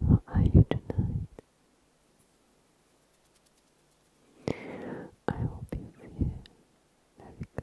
How are you tonight? I hope you feel very good.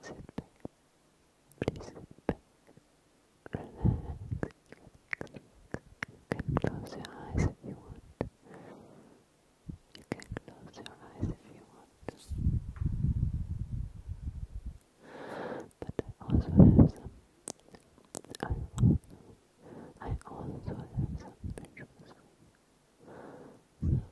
Sit back. Please Relax. You can close your eyes if you want. You can close your eyes if you want. But I also have some. I also, I also have some visuals you. Please relax.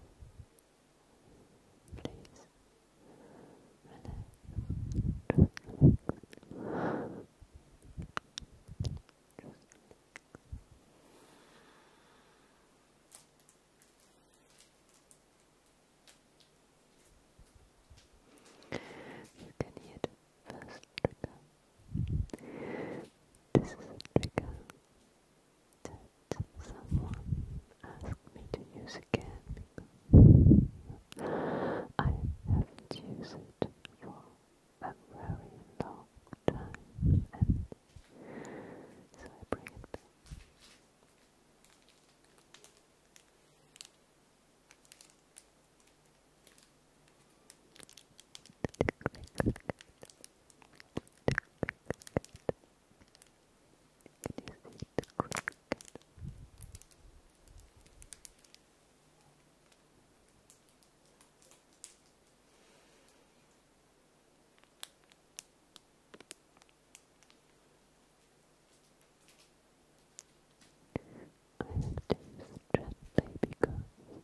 You can hear the first trigger. This is a trigger that someone asked me to use again because I haven't used it for a very long time and so I bring it Cricket. you I have to use gently because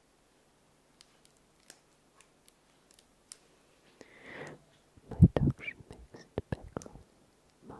My dog should mix the background mum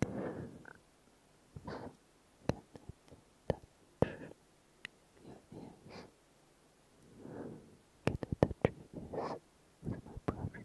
touch your ears? Can I touch your ears with my brush? A little bit, just a little bit. Good.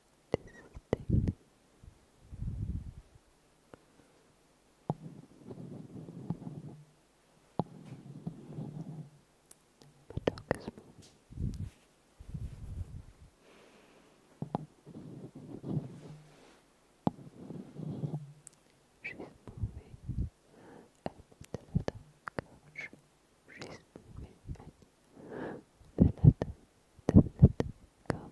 distinct. The dog is moving. She's moving under the couch. She's moving under to let, to let go, go. Just touch it. Touch it.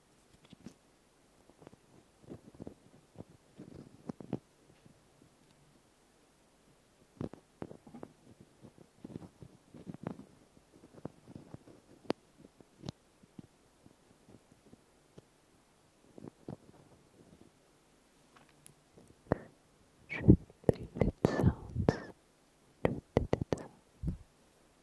Treated sounds. Treated sounds.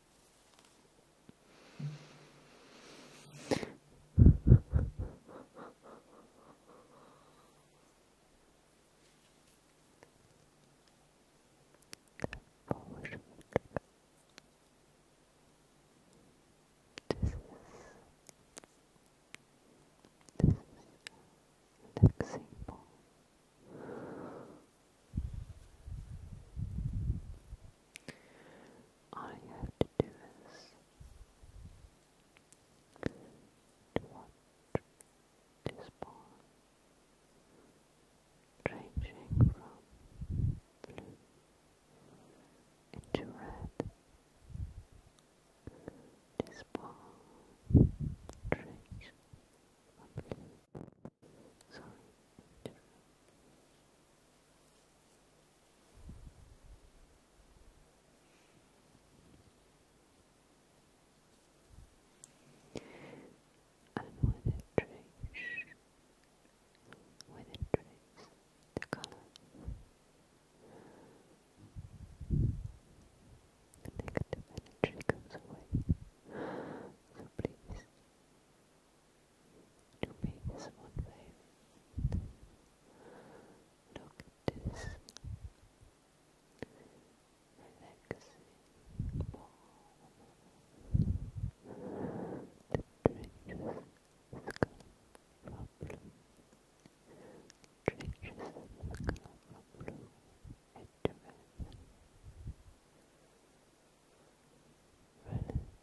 This is an example all you have to do is to watch this ball ranging from blue into red. This ball ranges sorry, and with a trace, with a trace, the color. The negative energy goes away. So please to make this one favorite. Look at this relaxing balm that changes scalp problem, changes scalp problem at the Relax.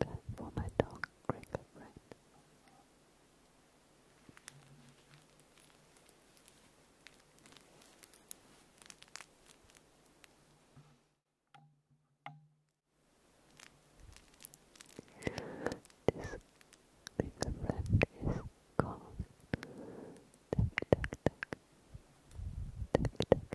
Time for my dog right. This friend is gone. Tuck, tuck,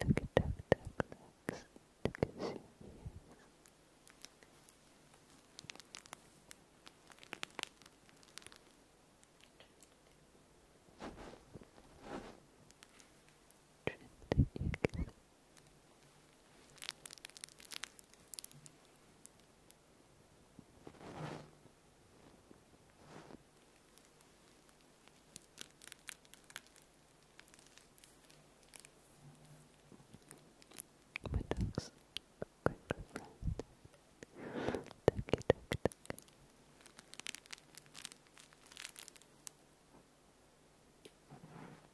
Look at Duck Duck Looks to consume you. Drifting you my dog's quite reflected. Ducky, duck, duck.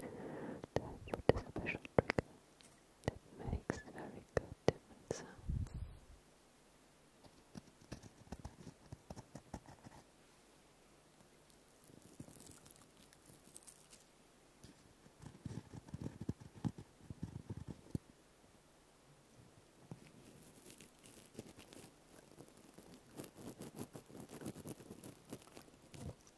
Time for special trigger that makes very good sounds.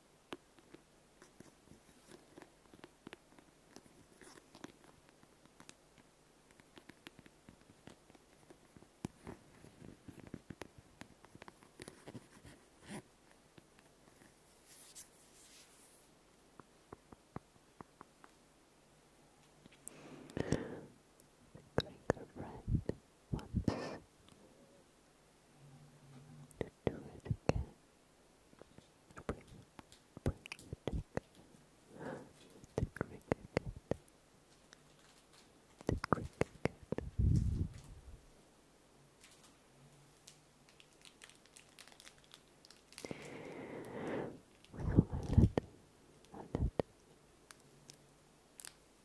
Cracker bread once to do it again. Bring, bring it again. The cricket, the cricket. So I let, I let. I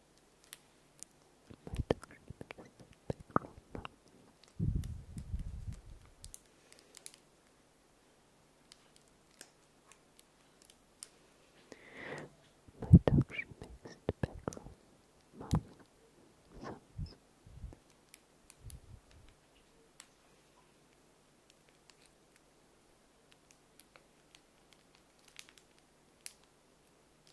My dog she makes the background mum sounds. Thank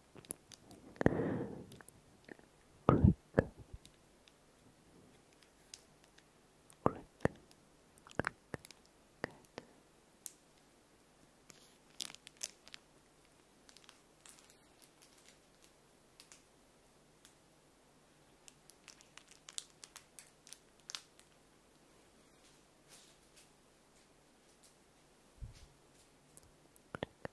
Crick. Crick. Crick. Good. Click.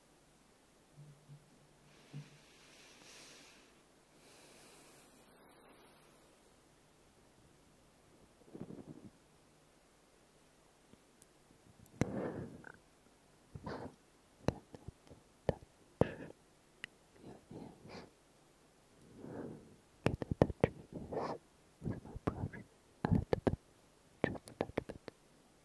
touch your ears. Can I touch your ears with my brush a little bit? Just a little bit.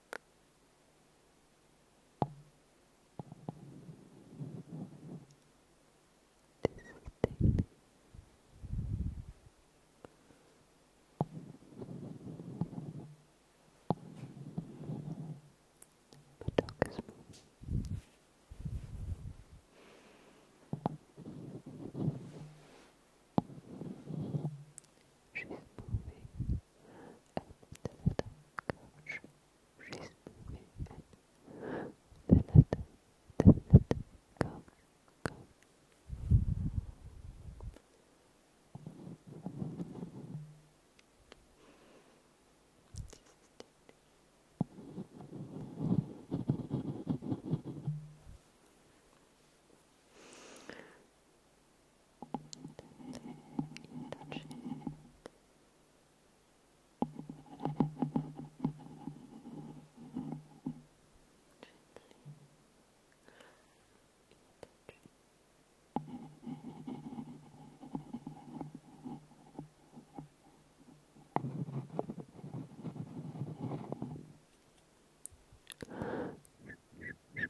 This the dog is moving. She's moving and the couch. She's moving and the letter, the couch. You touch it. Gently. You touch it.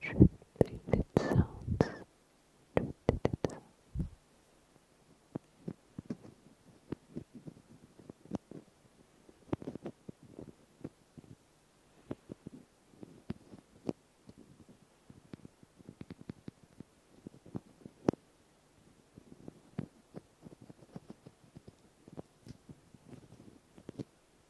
Treated sounds. Treated sounds. Good.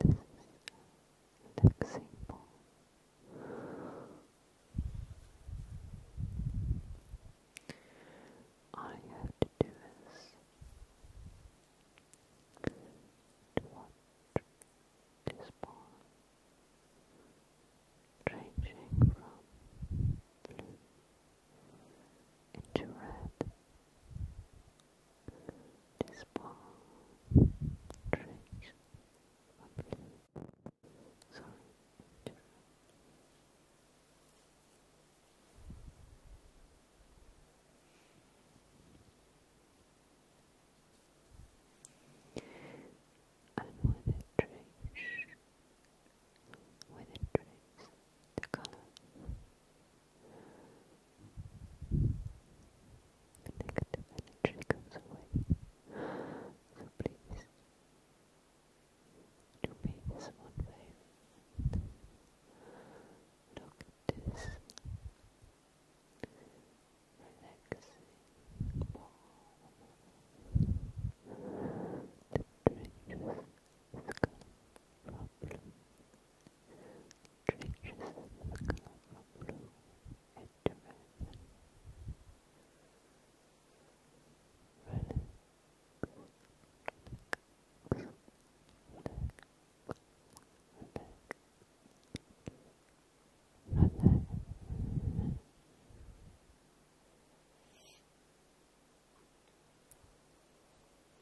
This is All you have to do is watch this ball ranging from blue into red this ball trace And with a trace, with a trace, the color Negative energy away. So please do me this one way. Look at this relaxing ball that ranges Treacherous colorful blue and red. Relax. Relax. Relax. Relax.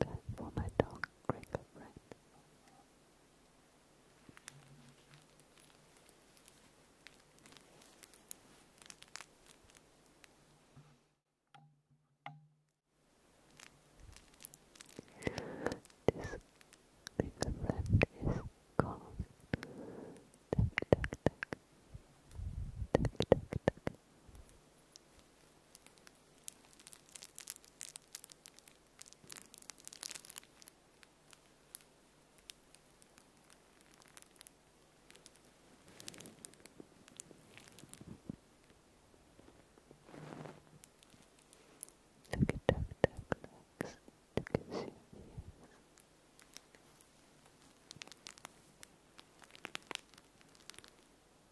Time for my dog, Cricket, This cricket is gone. Look at Duck Duck Looks to consume views.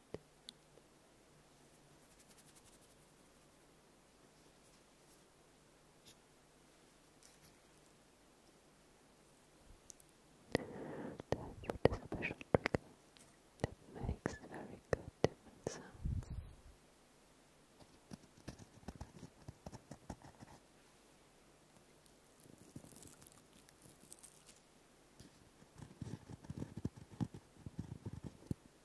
with a special trigger that makes very good different sounds. Thank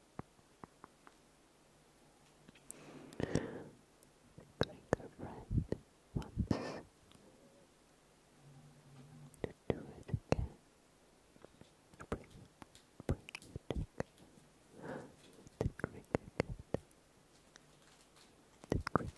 Cracker friend wants to do it again. Bring, bring it back. The cricket, the cricket.